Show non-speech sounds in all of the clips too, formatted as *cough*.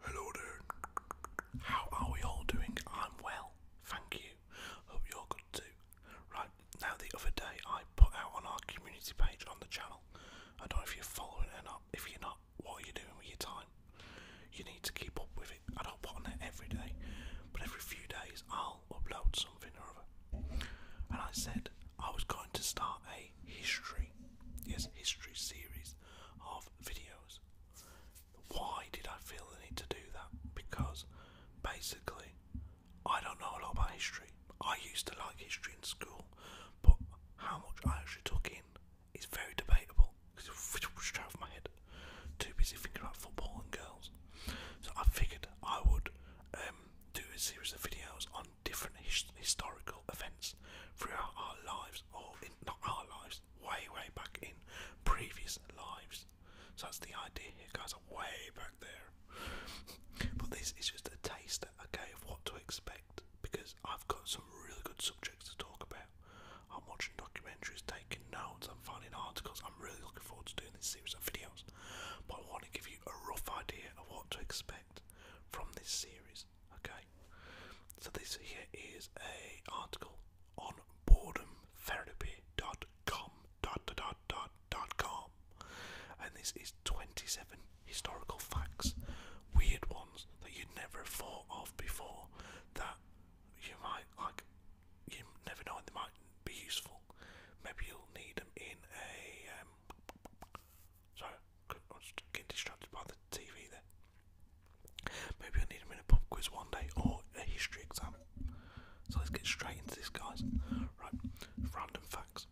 Hello there. How are we all doing? I'm well, thank you. Hope you're good too. Right, now the other day I put out on our community page on the channel. I don't know if you're following or not. If you're not, what are you doing with your time? You need to keep up with it. I don't put on it every day, but every few days I'll upload something or other. And I said I was going to start a history, yes, history series of videos. Why did I feel the need to do that? Because basically, I don't know a lot about history. I used to like history in school, but how much I actually took in is very debatable straight off my head. Too busy thinking about football and girls. So I figured I would um, do a series of videos on different historical events throughout our lives, or in, not our lives, way, way back in previous lives. So that's the idea here, guys, i way back there. but this is just a taste, okay, of what to expect because I've got some really good subjects to talk about. I'm watching documentaries, taking notes, I'm finding articles. I'm really looking forward to doing this series of videos. But I want to give you a rough idea of what to expect from this series. Okay. So this here is an article on boredomtherapy.com And this is twenty-seven historical facts. Weird ones that you'd never thought of before that you might like you never know, they might be useful. Maybe you'll need them in a. Um, sorry, getting distracted by the TV there. Maybe you need them in a pub quiz one day or a history exam. So let's get straight into this, guys. Right, random facts.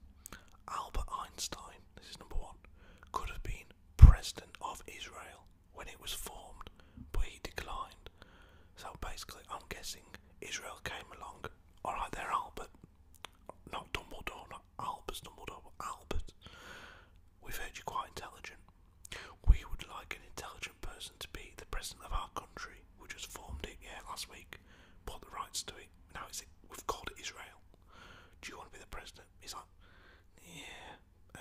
Albert Einstein, this is number one, could have been president of Israel when it was formed, but he declined. So basically, I'm guessing Israel came along. All there, Albert, not Dumbledore, not Albus Dumbledore, Albert. We've heard you're quite intelligent. We would like an intelligent person to be the president of our country. which was formed it, yeah, last week. Bought the rights to it. Now it's we've called it Israel. Do you want to be the president? He's like, yeah. Um,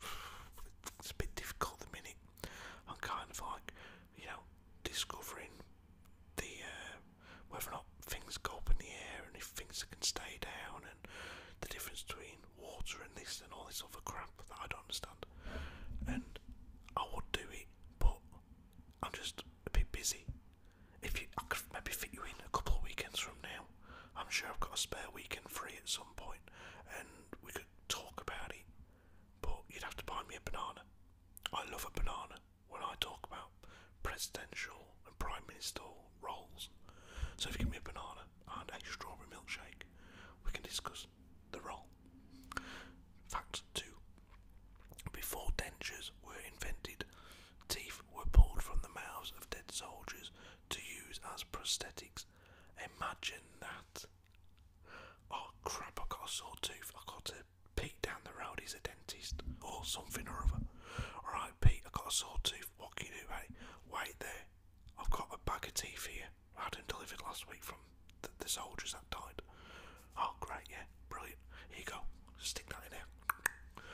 *sighs* it's a bit difficult the minute. I'm kind of like, you know, discovering the uh, whether or not things go up in the air and if things can stay down and the difference between water and this and all this other crap that I don't understand. And I would do it, but I'm just a bit busy. If you, I could maybe fit you in a couple of weekends from now. I'm sure I've got a spare weekend free at some point, and we could talk about it, but you'd have to buy me a banana. I love a banana when I talk about presidential and prime minister roles. So if you give me a banana and a strawberry milkshake, we can discuss the role. Fact 2. Before dentures were invented, teeth were pulled from the mouths of dead soldiers to use as prosthetics. Imagine that. Oh crap, I got a sore tooth. I got to Pete down the road, he's a dentist or something or other. Alright, Pete, I got a sore tooth. What can you do, hey? Wait there. I've got a bag of teeth here. I had them delivered last week from the, the soldiers that died. Oh, great, yeah, brilliant. Here you go. Stick that in there.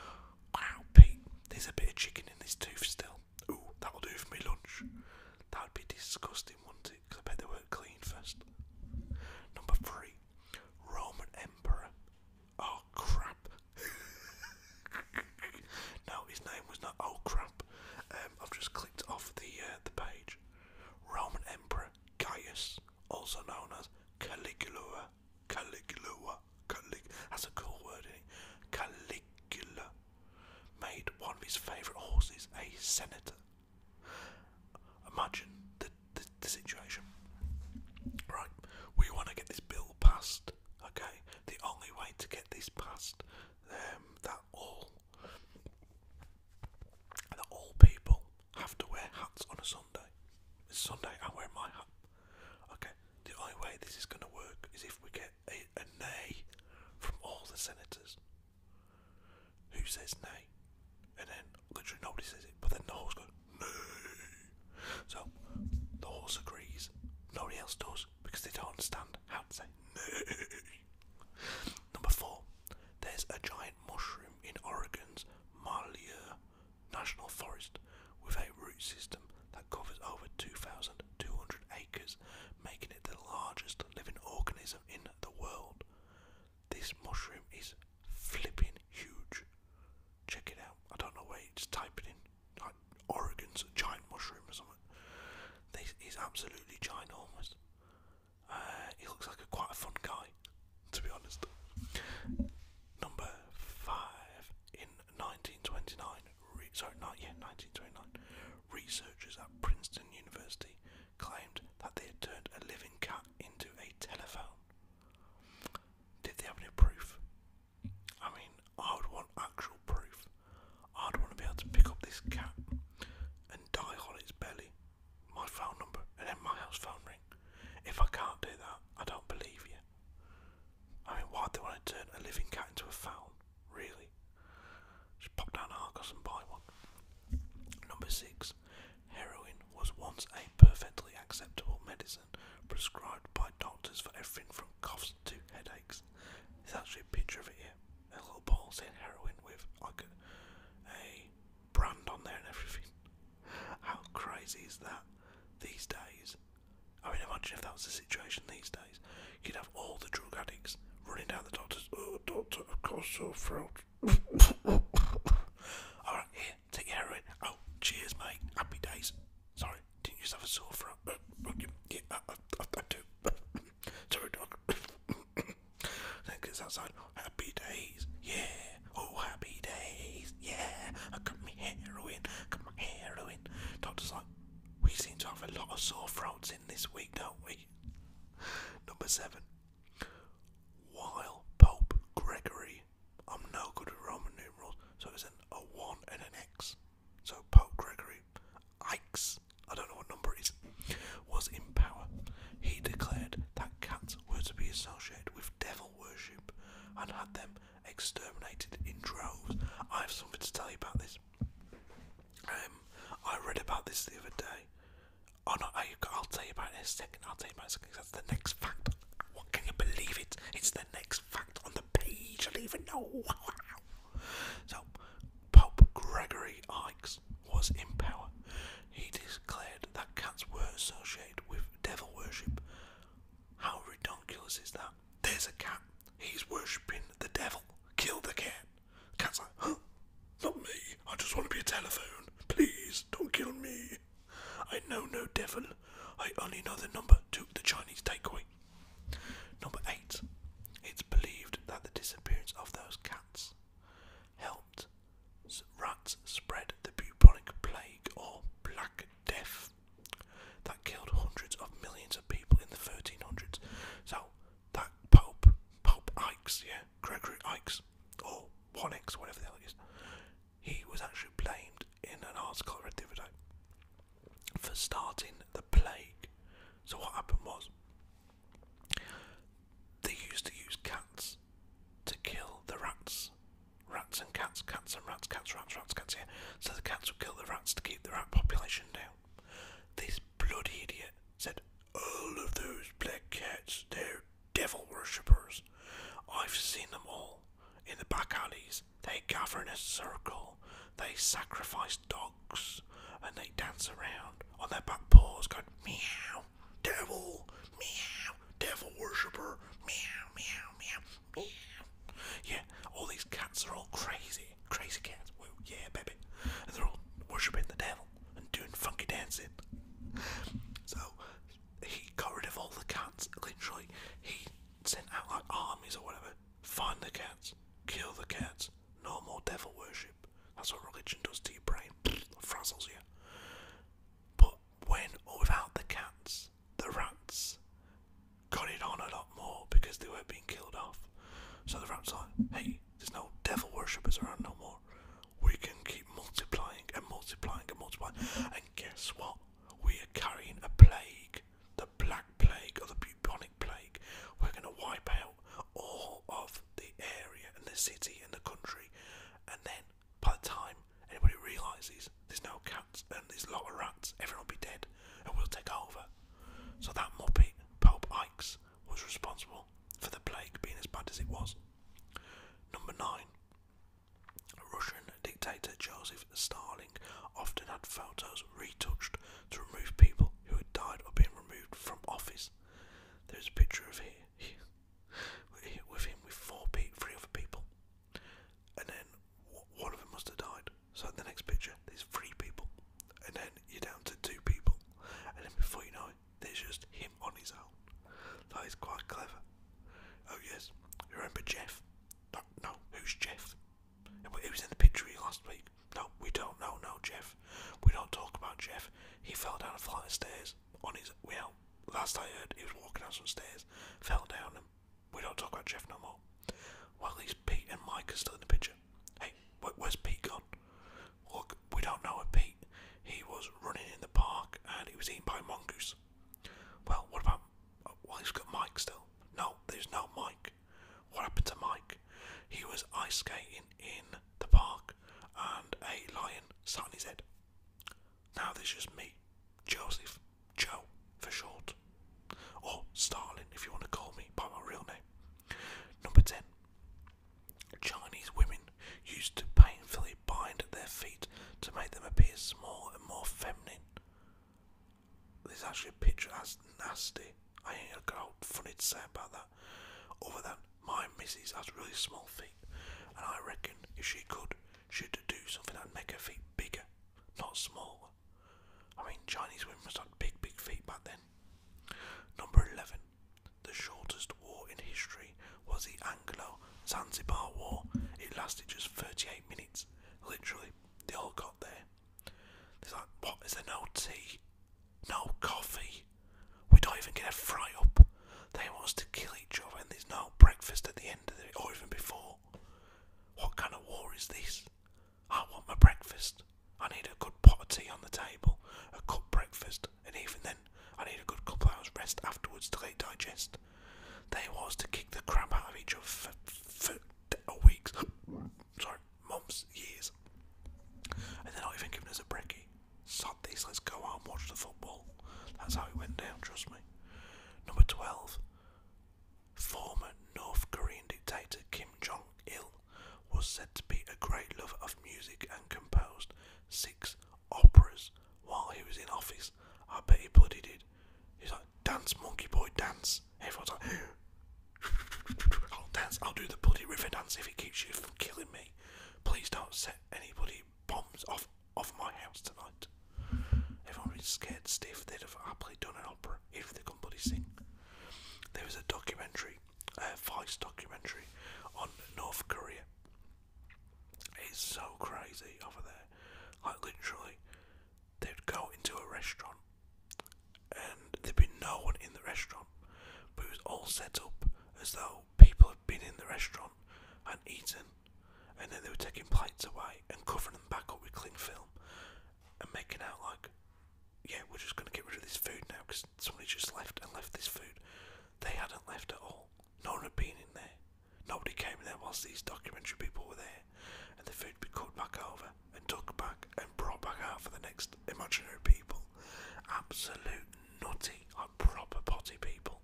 Wow, Pete, there's a bit of chicken in this tooth still. Ooh, that'll do for me lunch. That would be disgusting, wouldn't Because I bet they were clean first. Number three, Roman Emperor. Oh crap. *laughs* no, his name was not oh crap. Um, I've just clicked off the uh, the page. Roman Emperor Gaius, also known as Caligula. Caligula. Calig that's a cool word, Caligula made one of his favourite horses a senator. Imagine the, situation. Right, we want to get this bill passed. Okay, the only way to get this passed, um, that all that all people have to wear hats on a Sunday. It's Sunday. I'm my hat. Okay, the only way this is going to work is if we get a, nay from all the senators. Who says nay? And then literally nobody says it, but then the horse goes, nay. So the horse agrees, nobody else does because they don't understand how to say nay. Number four, there's a giant mushroom in Oregon's Marlier National Forest with a root system that covers over 2,000 200 acres, making it the largest living organism in the world. This mushroom is flipping huge. Check it out. I don't know where, just type it in. Like Oregon's giant mushroom or something. This is absolutely ginormous. Uh, he looks like a quite a fun guy, to be honest. Number five in 1929. sorry, yeah, 1929 researchers at Princeton University claimed that they had turned a living cat into a telephone. Did they have any proof? I mean, I would want actual proof. I'd want to be able to pick up this cat and dial on its belly my phone number and then my house phone ring. If I can't do that, I don't believe you. I mean, why do they want to turn a living cat into a phone? Really? Just pop down Argos and buy one. Number six, heroin was once a perfectly acceptable medicine prescribed by doctors for everything from coughs to headaches. There's actually a picture of it here. A little ball saying heroin with like a brand on there and everything. How crazy is that these days? I mean, imagine if that was the situation these days. You'd have all the drug addicts running down the doctors. Oh, doctor, of course, sore throat. *laughs* Alright, here, take heroin. Oh, cheers, mate. Happy days. Sorry, didn't you have a sore throat? Uh, yeah, I, uh, uh, I, I do. *laughs* Sorry, dog. *laughs* then gets outside. Happy days. Yeah. Oh, happy days. Yeah. I got my heroin. I got my heroin. Doctor's like, we seem to have a lot of sore throats this week, don't we? Number seven. While Pope Gregory, I'm no good with Roman numerals, so it's an, a and an X. So Pope Gregory, Ix, don't know what number it is, was in power. He declared that cats were to be associated with devil worship and had them exterminated in droves. I have something to tell you about this. Um, I read about this the other day. Oh no, I, will tell you about this second. I'll tell you about it in second. That's the next fact. What can you believe it? It's the next fact on the page. I don't even know. *laughs* Wow. So, Pope Gregory Ikes was in power. He declared that cats were associated with devil worship. How ridiculous is that? There's a cat. He's worshipping the devil. Kill the cat cat's like, huh? Not me. I just want to be a telephone. Please, don't kill me. I know no devil. I only know the number to the Chinese takeaway. Number eight. It's believed that the disappearance of those cats helped rats spread the bubonic plague or black death that killed hundreds of millions of people in the 1300s. So that Pope, Pope Ikes, yeah, Gregory Ikes, or One X, whatever the hell it is, he was actually blamed in an article I read for starting the plague. So what happened was they used to use cats to kill the rats. Rats and cats, cats and rats, cats, rats, rats, cats, yeah. So the cats would kill the rats to keep the rat population down. This bloody idiot said, All of those black cats, they're devil worshippers. I've seen them all. In the back alleys, they gather in a circle, they sacrifice dogs, and they dance around on their back paws going, Meow, devil, meow, devil worshipper, meow, meow, meow, meow. Yeah, all these cats are all crazy crazy cats, woo, yeah, baby. And they're all worshipping the devil and doing funky dancing. So he got rid of all the cats, literally. He sent out like armies or whatever. Find the cats, kill the cats, no more devil worship. That's what religion does to your brain, frazzles you. But when or without the cats, the rats got it on a lot more because they were being killed off. So the rat's like, hey, there's no devil worshippers around no more. We can keep multiplying and multiplying and multiplying. And guess what? We are carrying a plague, the black plague or the bubonic plague. We're going to wipe out all of the area and the city and the country. And then by the time anybody realises there's no cats and there's a lot of rats, everyone will be dead and we'll take over. So that Muppet, Pope Ikes, was responsible for the plague being as bad as it was. Number 9. Russian dictator Joseph Stalin often had photos retouched to remove people who had died or been removed from office. There's a picture of here, with him with four pe three other people, and then one of them must have died. So the next picture, there's three people, and then you're down to two people, and then before you know it, there's just him on his own. That is quite clever. Oh yes, you remember Jeff? No, no, who's Jeff? It was in the picture last week. No, we don't. know. no, Jeff. We don't talk about Jeff. He fell down a flight of stairs on his. Well, last I heard, he was walking down some stairs, fell down, and we don't talk about Jeff no more. Well, at least Pete and Mike are still in the picture. Hey, where's Pete gone? Look, we don't know where Pete. He was running in the park and he was eaten by a mongoose. Well, what about. Uh, well, he's got Mike still. No, there's no Mike. What happened to Mike? He was ice skating in the park and a lion saw his head. Now there's just me, Joseph, Joe for short, or Starling if you want to call me by my real name. Number 10. Chinese women used to painfully bind their feet to make them appear small and more feminine. There's actually a picture that's nasty. I ain't got funny to say about that. Other than my missus has really small feet, and I reckon if she could, she'd do something that'd make her feet bigger, not smaller. I mean, Chinese women must have big, big feet back then. Number 11. The shortest war in history was the Anglo Zanzibar War. It lasted just 38 minutes. Literally, they all got there. It's like, what? Is there no tea? No coffee? We don't even get a fry up. They want us to kill each other and there's no breakfast at the end of it or even before. What kind of war is this? I want my breakfast. I need a good pot of tea on the table, a cup breakfast, and even then, I need a good couple hours rest afterwards to let digest. They was to kick the crap out of each other for, for weeks, *gasps* sorry, months, years, and they're not even giving us a brekkie. Sod this, let's go out and watch the football. That's how it went down, trust me. Number 12. Former North Korean dictator Kim Jong il was said to be a great lover of music and composed six operas while he was in office. I bet he bloody did. He's like, dance, monkey boy, dance. Everyone's like, *gasps* I'll dance, I'll do the bloody river dance if he keeps you from killing me. Please don't set anybody bombs off off my house tonight. Everyone was scared stiff, they'd have happily done an opera if they could bloody sing. There was a documentary a Vice documentary on North Korea. It's so crazy over there. Like literally, they'd go into a restaurant and there'd be no one in the restaurant, but it was all set up as though people had been in the restaurant and eaten, and then they were taking plates away and covering them back up with cling film and making out like yeah, we're just going to get rid of this food now because somebody just left and left this food. They hadn't left at all. No one had been in there. Nobody came in there whilst these documentary people were there. And the food would be cut back over and took back and brought back out for the next imaginary people. Absolute nutty, like proper potty people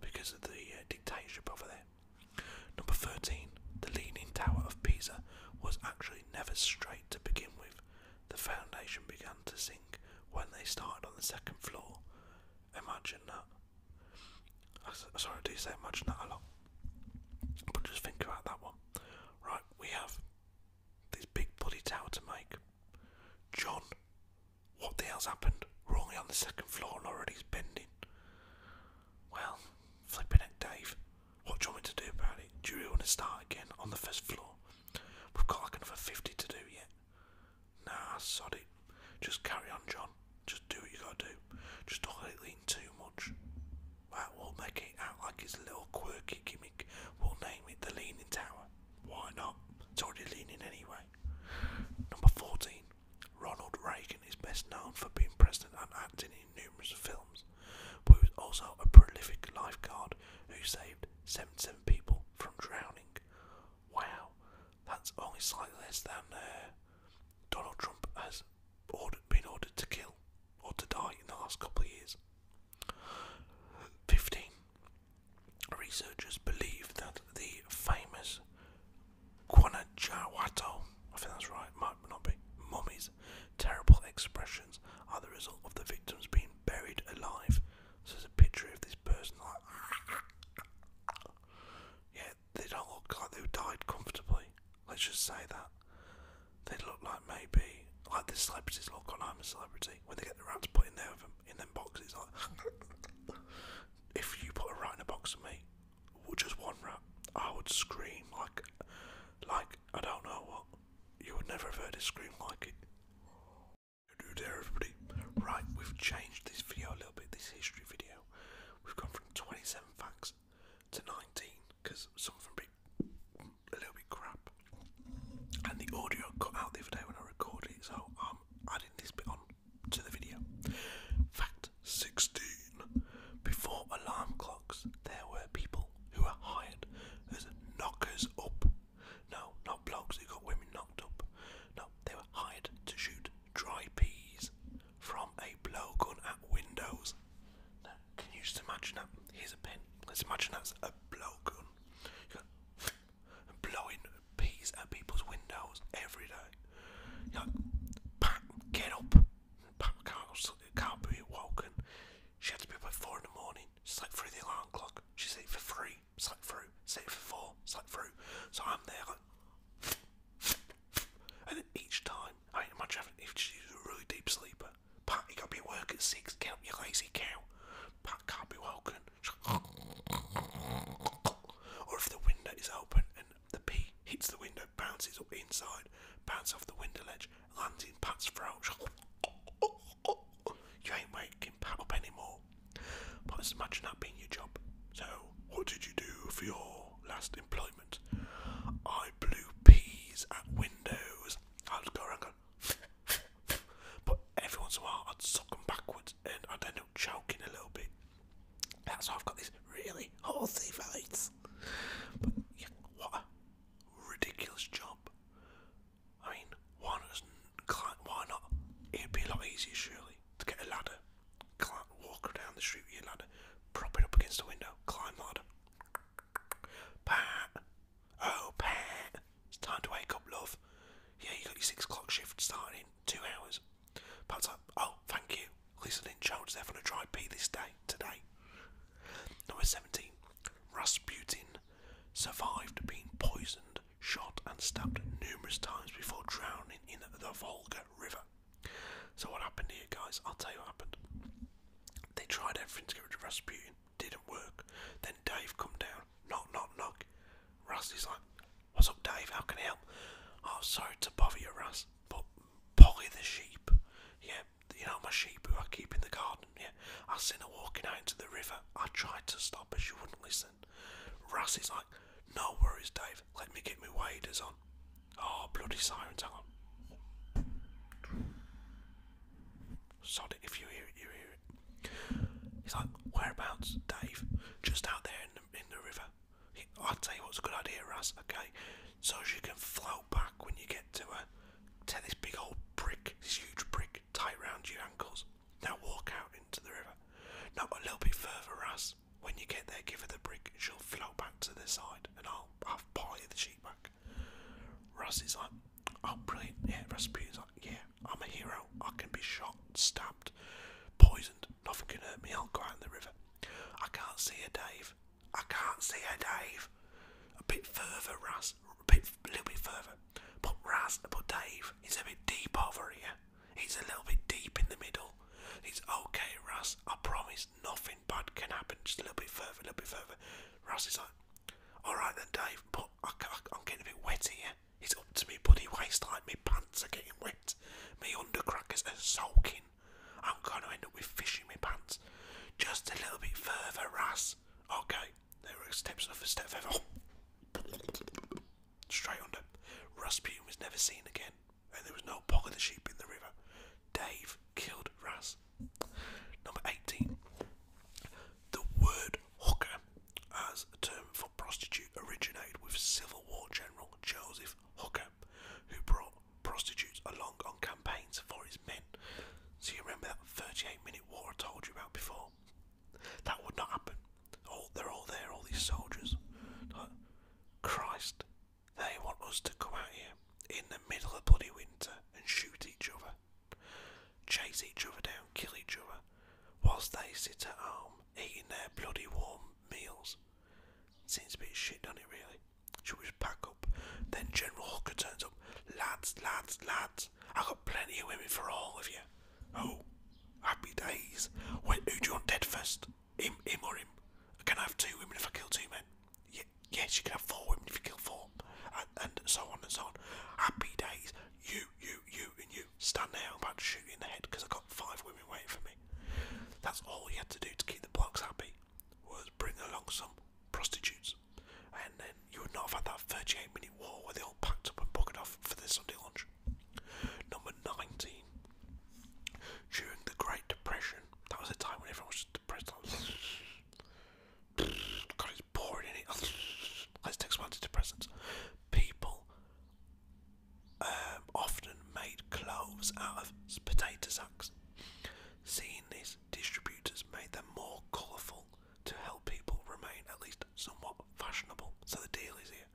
because of the uh, dictatorship over there. Number 13, the Leaning Tower of Pisa was actually never straight to begin with. The foundation began to sink when they started on the second floor. Imagine that. sorry, I do say imagine that a lot. But just think about that one. Right, we have this big body tower to make. John, what the hell's happened? We're only on the second floor and already it's bending. Well, flipping it, Dave. What do you want me to do about it? Do you really want to start again on the first floor? We've got like another 50 to do yet. Nah, sod it. Just carry on, John. Just do what you gotta do. Just don't let it lean too much. That will make it out like it's a little quirky gimmick. We'll name it the Leaning Tower. Why not? It's already leaning anyway. Number 14. Ronald Reagan is best known for being president and acting in numerous films but he was also a prolific lifeguard who saved 77 people from drowning. Wow, that's only slightly less than uh, Donald Trump has been ordered to kill or to die in the last couple of years. 15. Researchers believe that the famous Guanajuato, I think that's right, might not be, mummies Terrible expressions are the result of the victims being buried alive. So there's a picture of this person Yeah, they don't look like they died comfortably. Let's just say that. They look like maybe like the celebrities look on I'm a celebrity when they get the rats put in there in them boxes like if you put a rat in a box of me, just one rat, I would scream like like I don't know what you would never have heard a scream like it. there, everybody. Right, we've changed this video a little bit, this history video. We've gone from 27 facts to 19 because some of them be a little bit crap. And the audio cut out the other day when I recorded it, so I'm adding this bit on to the video. Fact 16 Before alarm clocks, there were people who are hired as knockers up. No, not blokes who got women knocked up. No, they were hired to shoot dry peas from a blowgun at windows. Now, can you just imagine that? Here's a pen. Let's imagine that's a blowgun. You got *laughs* blowing peas at people's windows every day. You're like, Pat, get up. Pat can't be woken. She had to be up at four in the morning. She's like through the alarm clock. She's late for three. It's like through. It's late for four. It's like through. So I'm there like, and then each time, I mean, imagine having, if she's a really deep sleeper. Pat, you gotta be at work at six. Get up, you lazy cow. Pat can't be woken. Or if the window is open and the pee hits the window, bounces up inside, bounces off the window ledge, landing Pat's throat. *laughs* You ain't waking up anymore. But let imagine that being your job. So, what did you do for your last employment? I blew peas at windows. I'd going, *laughs* but every once in a while I'd suck them backwards and I'd end up choking a little bit. That's why I've got these really horsey voice ridiculous job. I mean, why not? Why not? It'd be a lot easier, surely, to get a ladder, climb, walk down the street with your ladder, prop it up against the window, climb the ladder. Pat, oh Pat, it's time to wake up, love. Yeah, you got your six o'clock shift starting in two hours. Pat's like, oh, thank you. At least I didn't choke to death on a dry pee this day, today. Number 17. Rasputin survived being poisoned, shot, and stabbed numerous times before drowning in the Volga River. So, what happened here, guys? I'll tell you what happened. They tried everything to get rid of Rasputin, didn't work. Then Dave come down, knock, knock, knock. Ras is like, What's up, Dave? How can I help? Oh, sorry to bother you, Ras, but Polly the sheep, yeah, you know, my sheep who I keep in the garden, yeah, I seen her walking out into the river. I tried to stop her, she wouldn't listen. Russ is like, no worries, Dave, let me get my waders on. Oh, bloody sirens, hang on. Sod it, if you hear it, you hear it. He's like, whereabouts, Dave? Just out there in the, river. i tell you what's a good idea, Russ, okay? So she can float back when you get to her. Take this big old brick, this huge brick, tie round your ankles. Now walk out into the river. Not a little bit further, Russ. When you get there, give her the brick. She'll float back to the side, and I'll have party the sheet back. Russ is like, oh brilliant, yeah. Russ Rasputin's like, yeah, I'm a hero. I can be shot, stabbed, poisoned. Nothing can hurt me. I'll go in the river. I can't see you, Dave. I can't see her, Dave. A bit further, Russ. A, bit, a little bit further. But Raz, but Dave, he's a bit deep over here. He's a little bit deep in the middle. He's okay, Russ. I promise nothing bad can happen. Just a little bit further, a little bit further. Russ is like, alright then, Dave, but I, am getting a bit wet here. It's up to me bloody waistline. My pants are getting wet. Me undercrackers are sulking. I'm going to end up with fish in my pants. Just a little bit further, Russ. Okay, there were steps off a step further. Straight under. Rasputin was never seen again, and there was no bog of the sheep in the river. Dave killed Ras. Number 18. The word hooker as a term for prostitute originated with Civil War General Joseph Hooker, who brought prostitutes along on campaigns for his men. So you remember that 38 minute war I told you about before? That would not happen. Oh, they're all there, all these soldiers. Christ, they want us to come out here in the middle of bloody winter and shoot each other, chase each other down, kill each other, whilst they sit at home eating their bloody warm meals. Seems a bit shit, do not it, really? She was pack up. Then General Hooker turns up. Lads, lads, lads, I got plenty of women for all of you. Oh, happy days. When, who do you want dead first? Him, him or him? Can I have two women if I kill two men? Y yes, you can have four women if you kill four. And, so on and so on. Happy days. You, you, you, and you. Stand there, I'm about to shoot you in the head because I've got five women waiting for me. That's all you had to do to keep the blokes happy was bring along some prostitutes, and then you would not have had that 38 minute war where they all packed up and buggered off for their Sunday lunch. Number 19. During the Great Depression, that was a time when everyone was just depressed. Like, *laughs* God, it's boring in it. *laughs* Let's take some antidepressants. People um, often made clothes out of potato sacks. Seeing this, distributors made them more colourful to help people remain at least somewhat fashionable. So the deal is here.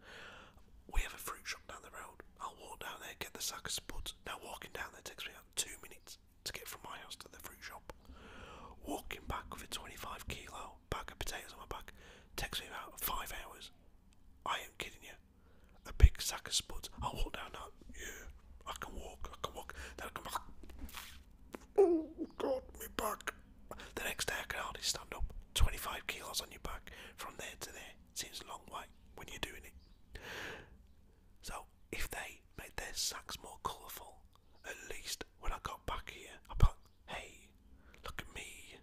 We have a fruit shop down the road. I'll walk down there, get the sack of spuds. Now walking down there takes me about two minutes to get from my house to the fruit shop. Walking back with a 25 kilo bag of potatoes on my back takes me about five hours. I ain't kidding you. A big sack of spuds. I'll walk down that. Yeah. I can walk, I can walk. Then I come back. Oh God, my back. The next day I can hardly stand up. 25 kilos on your back from there to there seems a long way when you're doing it. So if they made their sacks more colourful, at least when I got back here, I thought, hey, look at me.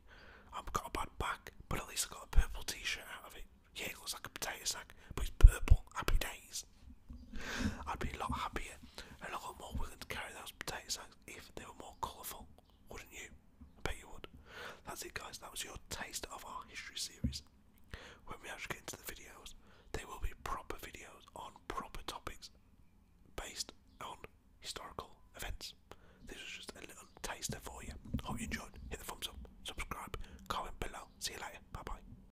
I've got a bad back, but at least I got a purple t-shirt out of it. Yeah, it looks like a potato sack, but it's purple. Happy days. I'd be a lot happier and a lot more willing to carry those potato sacks if they were more colourful, wouldn't you? I bet you would. That's it, guys. That was your taste of our history series. When we actually get into the videos, they will be proper videos on proper topics based on historical events. This was just a little taster for you. Hope you enjoyed. Hit the thumbs up, subscribe, comment below. See you later. Bye bye.